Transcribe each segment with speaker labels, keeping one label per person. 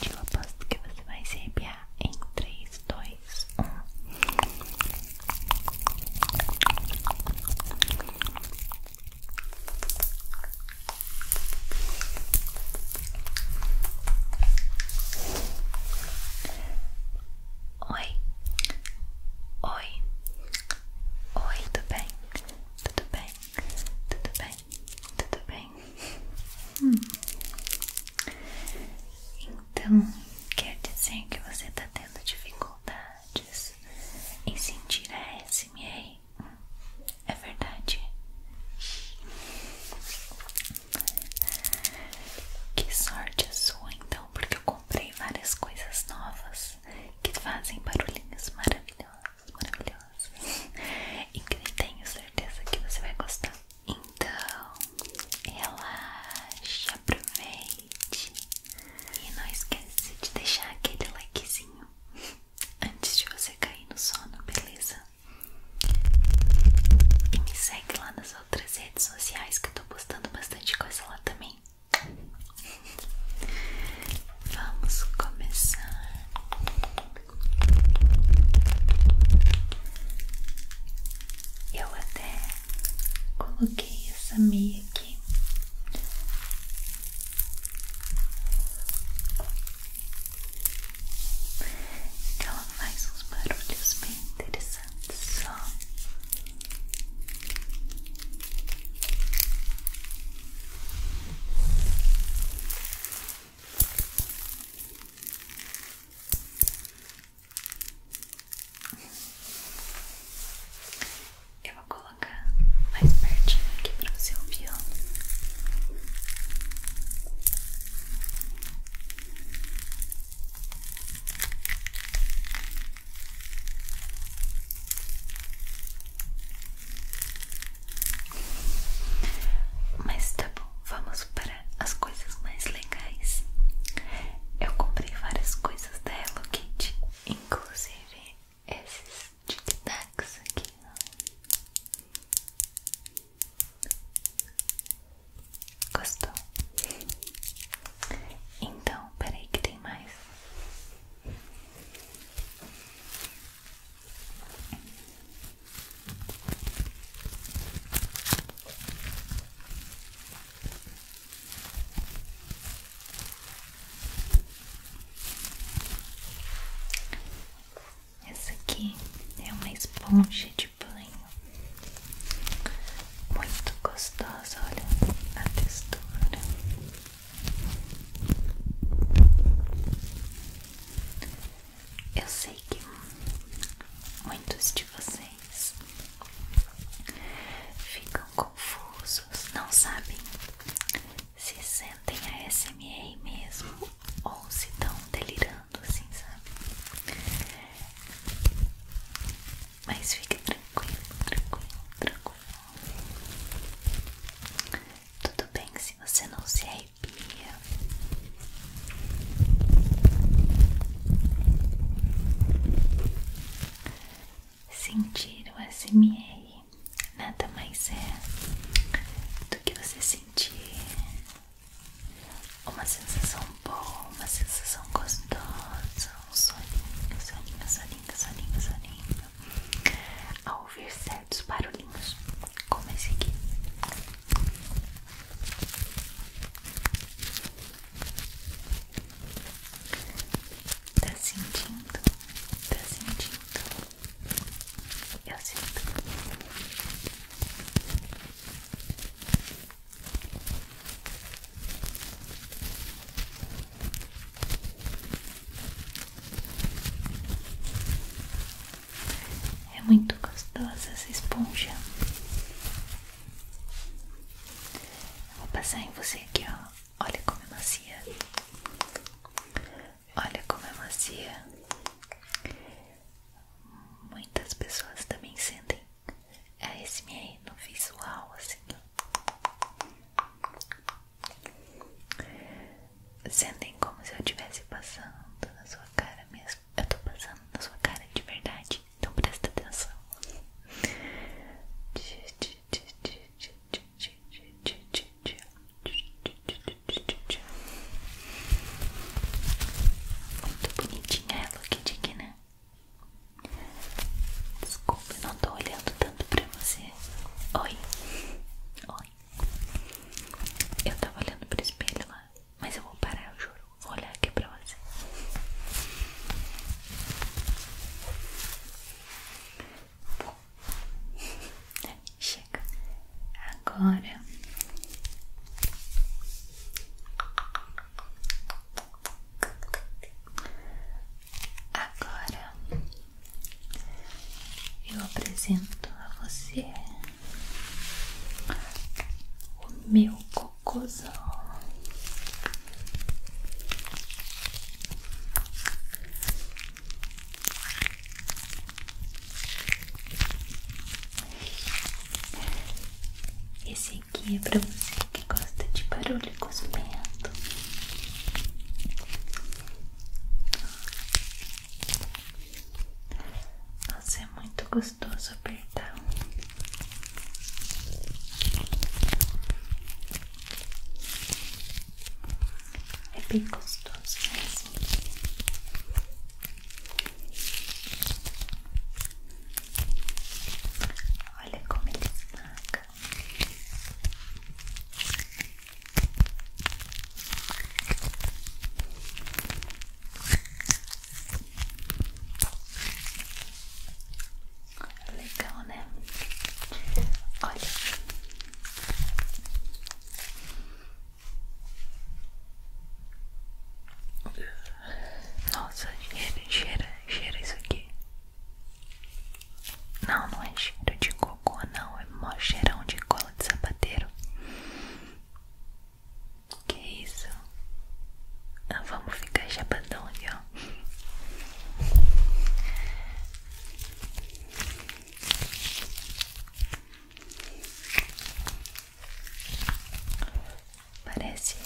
Speaker 1: Eu aposto que você vai se arrepiar em três, dois, 1 Oi, oi, oi, tudo bem? Tudo bem? Tudo bem? Tudo bem? Hum. Então, quer dizer que você está tendo dificuldades em sentir a SMR? É verdade. Que sorte a sua então, porque eu comprei várias coisas novas que fazem barulhinhos maravilhosos, maravilhosos. E que tenho certeza que você vai gostar. Então, relaxe, aproveite. E não esquece de deixar aquele likezinho antes de você cair no sono, beleza? E me segue lá nas outras redes sociais que eu tô postando bastante coisa lá também. Vamos começar. Eu até coloquei essa meia aqui que ela faz uns barulhos bem interessantes só. Eu vou colocar colocar mais pertinho aqui para você ouvir. Mas tá bom, vamos para as coisas mais legais. Eu comprei várias coisas da Hello Kitty, inclusive esses tic-tacs aqui, Gostou? Então, peraí que tem mais. Essa aqui é uma esponja de banho, muito gostosa. Olha a textura. Eu sei que muitos de vocês ficam confusos, não sabem se sentem a SMR mesmo ou se estão delirando assim, sabe? Mas fica tranquilo, tranquilo, tranquilo. Tudo bem se você não se arrepia. Sentir o SMR nada mais é do que você sentir uma sensação boa, uma sensação gostosa, um soninho, soninho, soninho, soninho, soninho, ao ouvir certos barulhinhos, como esse aqui. Tá sentindo? Tá sentindo? Eu sinto. É muito gostosa essa esponja. vou passar em você aqui, ó. Olha como é macia. Olha como é macia. Muitas pessoas também sentem ASMR no visual, assim. Sentem como se eu estivesse passando na sua cara mesmo. Eu tô passando na sua cara de verdade, então presta atenção. Muito bonitinha ela aqui de né? Desculpa, não tô olhando tanto pra você. Oi, oi. Eu tava olhando pro espelho lá, mas eu vou parar, eu juro. Vou olhar aqui pra você. Chega agora. Agora eu apresento a você o meu cocôzão. Esse aqui é para você que gosta de barulho cuspento. Nossa, é muito gostoso apertar. Epicos doces. Olha como ele esmaga. Legal, né? Olha, Nossa, cheira, cheira, cheira isso aqui. Não, não é cheiro de cocô, não. É mó cheirão de cola de sapateiro. Que isso? Ah, vamos ficar chapadão aqui, ó. Parece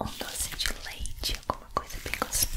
Speaker 1: um doce de leite, alguma coisa bem gostosa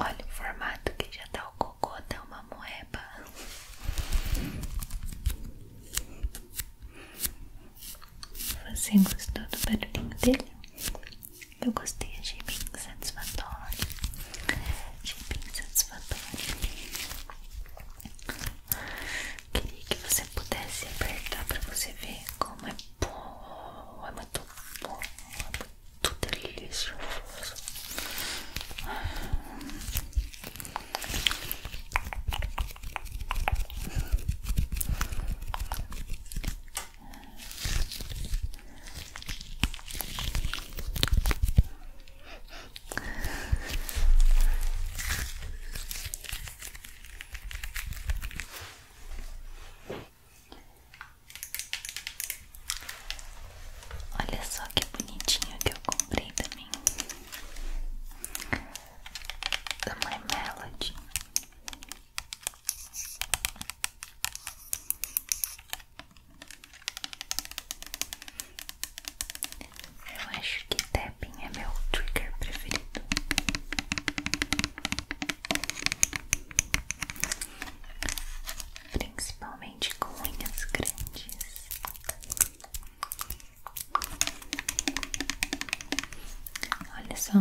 Speaker 1: Olha o formato que já tá o cocô, tá uma moeba. Você gostou do barulhinho dele? Eu gostei, achei bem satisfatório verdade Queria que você pudesse apertar pra você ver como é bom, é muito bom, é muito delicioso. Olha só que bonitinho que eu comprei também da My Melody. Eu acho que tapping é meu trigger preferido. Principalmente com unhas grandes. Olha só.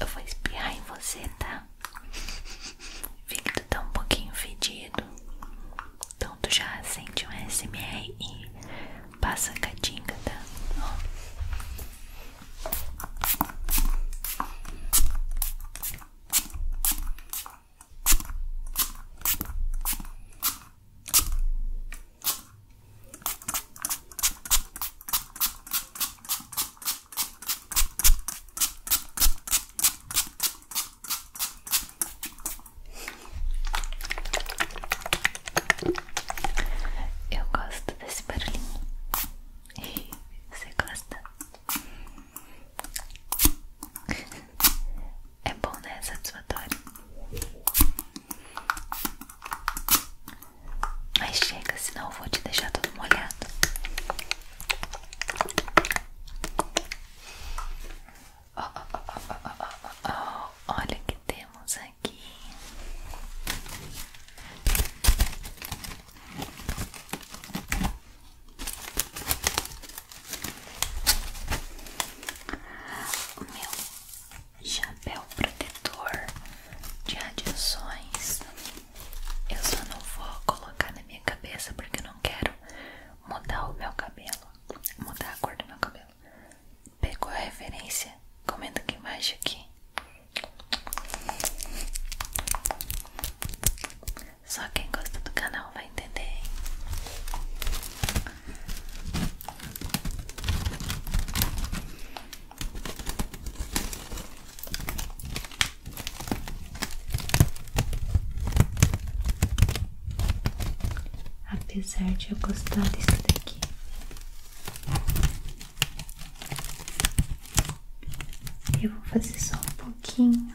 Speaker 1: Eu vou espiar em você, tá? Vi que tu tá um pouquinho fedido. Então tu já acende um SMR e passa a catinga, tá? Eu gosto desse barulhinho. E você gosta? É bom, né? Satisfatório. Mas chega, senão eu vou te deixar todo molhado. Olha o que temos aqui. O meu chapéu protetor de adições eu só não vou colocar na minha cabeça porque eu não quero mudar o meu cabelo, mudar a cor do meu cabelo. Pegou a referência? Comenta aqui embaixo aqui. Só quem gosta do canal vai entender. Apesar de eu gostar disso daqui, eu vou fazer só um pouquinho.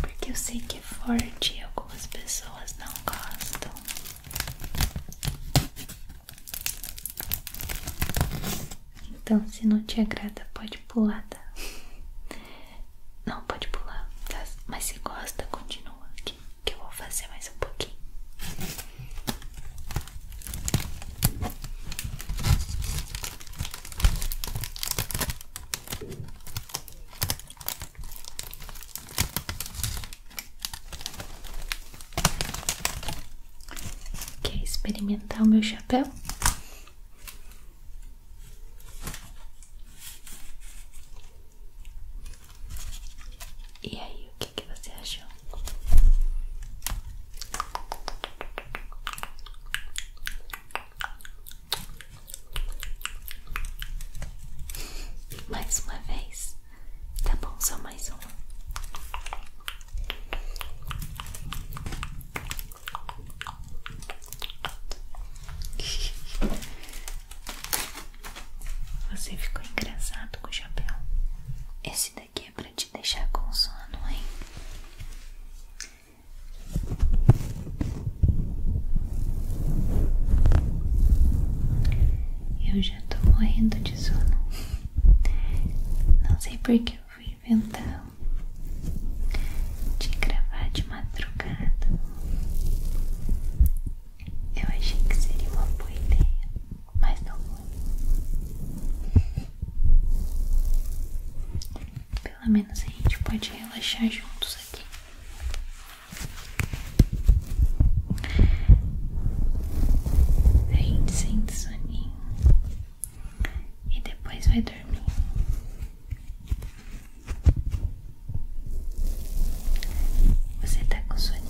Speaker 1: Porque eu sei que é forte e algumas pessoas não gostam. Então, se não te agrada, pode pular, tá? Não, pode pular, tá? Mas se gosta, continua aqui, que eu vou fazer mais um pouquinho. Quer experimentar o meu chapéu? E aí, o que, você achou? Mais uma vez, tá bom? Só mais uma. Você ficou engraçado com o chapéu. Esse daqui é pra te deixar com sono, hein? Eu já tô morrendo de sono. Não sei porque eu fui inventar de gravar de madrugada. Eu achei que seria uma boa ideia, mas não foi pelo menos a gente pode relaxar juntos aqui. A gente sente soninho e depois vai dormir. Você tá com soninho?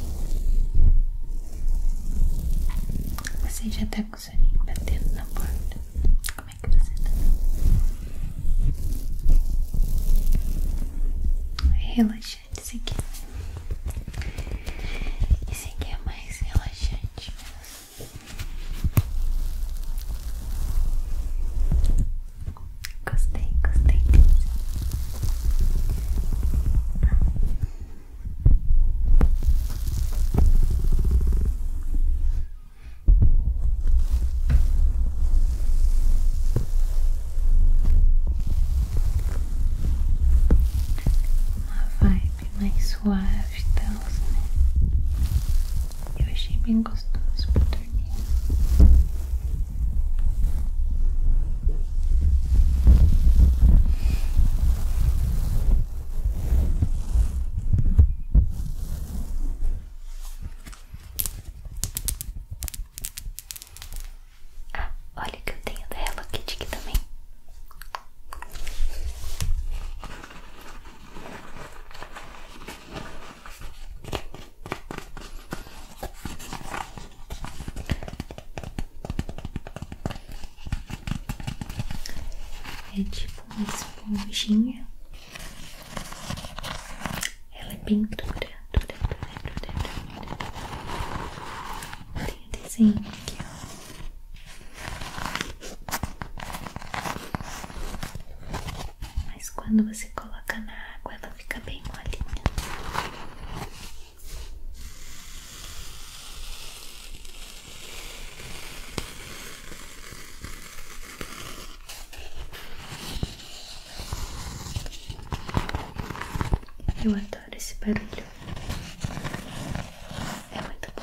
Speaker 1: Você já tá com soninho batendo na porta? como é que você tá? Relaxante, esse aqui. Esse aqui é mais relaxante mesmo. Gostei, gostei uma vibe mais suave tal, né? Eu achei bem gostoso pra dormir. Ah, olha que eu tenho da Hello Kitty aqui também. É tipo uma esponjinha ela é bem dura, dura, dura, dura, dura. Tem um desenho aqui, Mas quando você coloca na água, ela fica bem molinha. Eu adoro esse barulho. É muito bom.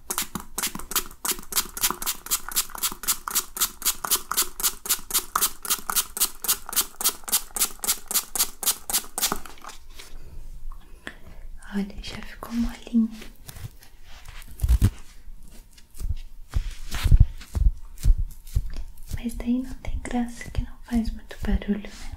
Speaker 1: Olha, já ficou molinho. Mas daí não tem graça que não faz muito barulho, né?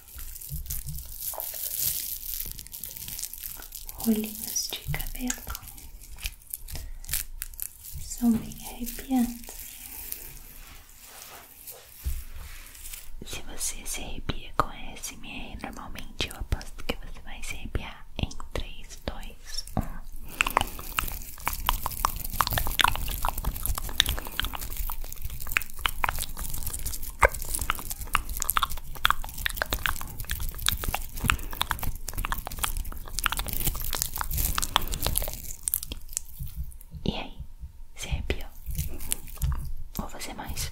Speaker 1: rolinhos de cabelo são bem arrepiantes. Se você se arrepia com SMR, normalmente eu aposto que você vai se arrepiar em 3, 2, 1. E aí? Você arrepiou? Ou você é mais?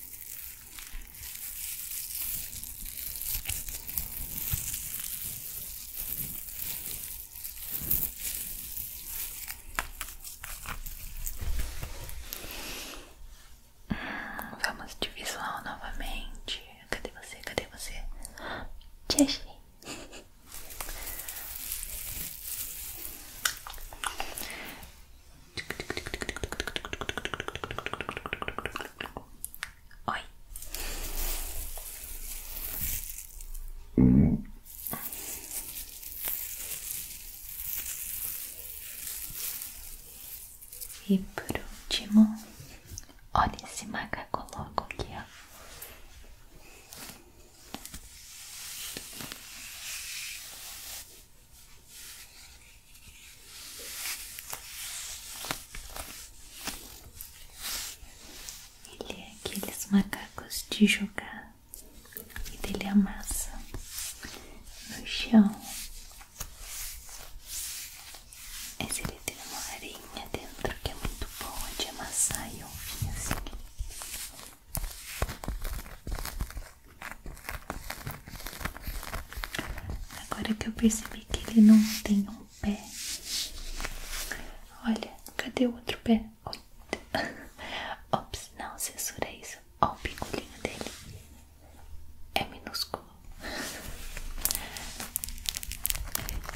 Speaker 1: Hum, vamos de visual novamente. Cadê você? Cadê você? Te Oi. E por último, olha esse macaco louco aqui, ó. Ele é aqueles macacos de jogar e dele é amassa no chão. Mas ele tem uma areinha dentro que é muito boa de amassar e ouvir assim. Agora que eu percebi que ele não tem um pé. Olha, cadê o outro pé? Ops, não censura isso. Olha o pingulinho dele. É minúsculo.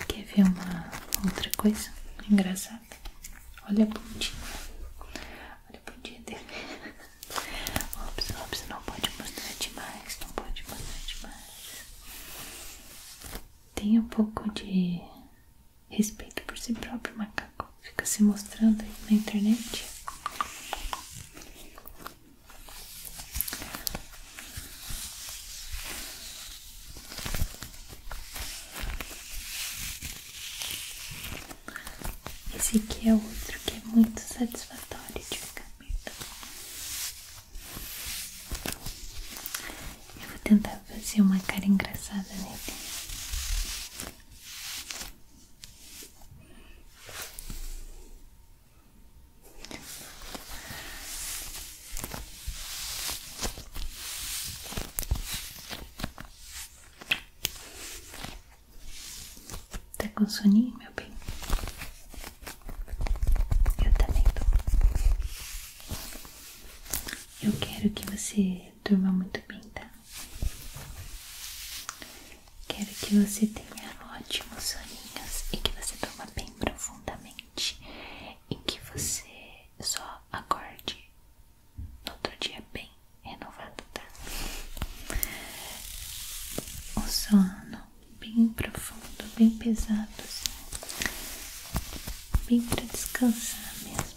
Speaker 1: Quer ver uma outra coisa engraçada? Olha a bundinha. Olha a bundinha dele. Ops, ops, não pode mostrar demais, não pode mostrar demais. Tem um pouco de respeito por si próprio, macaco. Fica se mostrando aí na internet. Esse aqui é outro que é muito satisfatório de ficar aberto. Eu vou tentar fazer uma cara engraçada nele. Tá com soninho, meu bem? Eu também tô. Eu quero que você durma muito bem, tá? Quero que você tenha ótimos soninhos e que você durma bem profundamente e que você só acorde no outro dia bem renovado, tá? Um sono bem profundo, bem pesado, assim. bem pra descansar mesmo.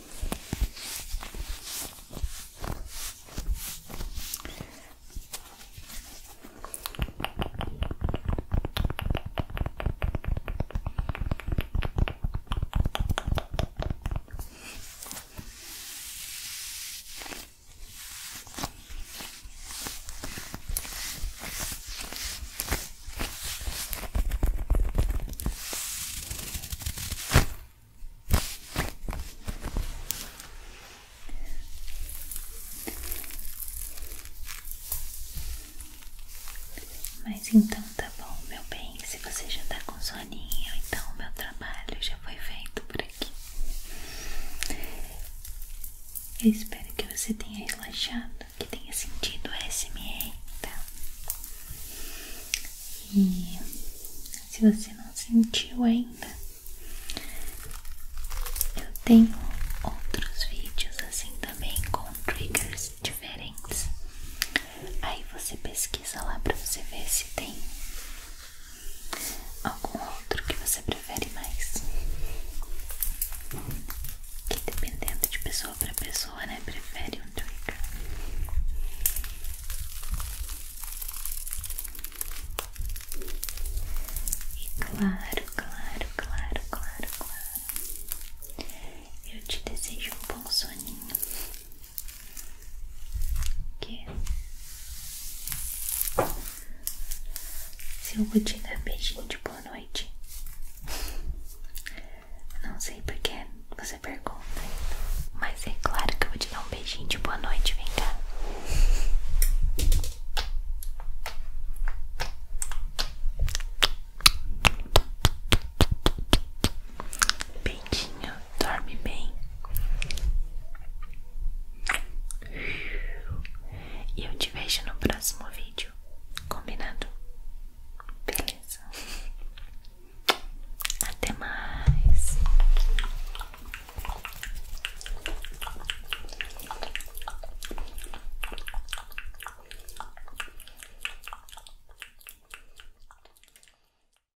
Speaker 1: Mas então tá bom, meu bem. Se você já tá com soninho, então o meu trabalho já foi feito por espero que você tenha relaxado, que tenha sentido o SMR, tá? E se você não sentiu ainda, eu tenho outros vídeos assim também com triggers diferentes. Aí você pesquisa lá pra você ver se tem Algum outro que você prefere mais? Que dependendo de pessoa para pessoa, né? Prefere um trigger. E claro, claro, claro, claro, claro. Eu te desejo um bom soninho que se eu vou te dar beijinho de boa noite, não sei porque você pergunta, mas é claro que eu vou te dar um beijinho de boa noite, vem cá. Beijinho, dorme bem. E eu te vejo no próximo vídeo. Combinado? Beleza. Até mais.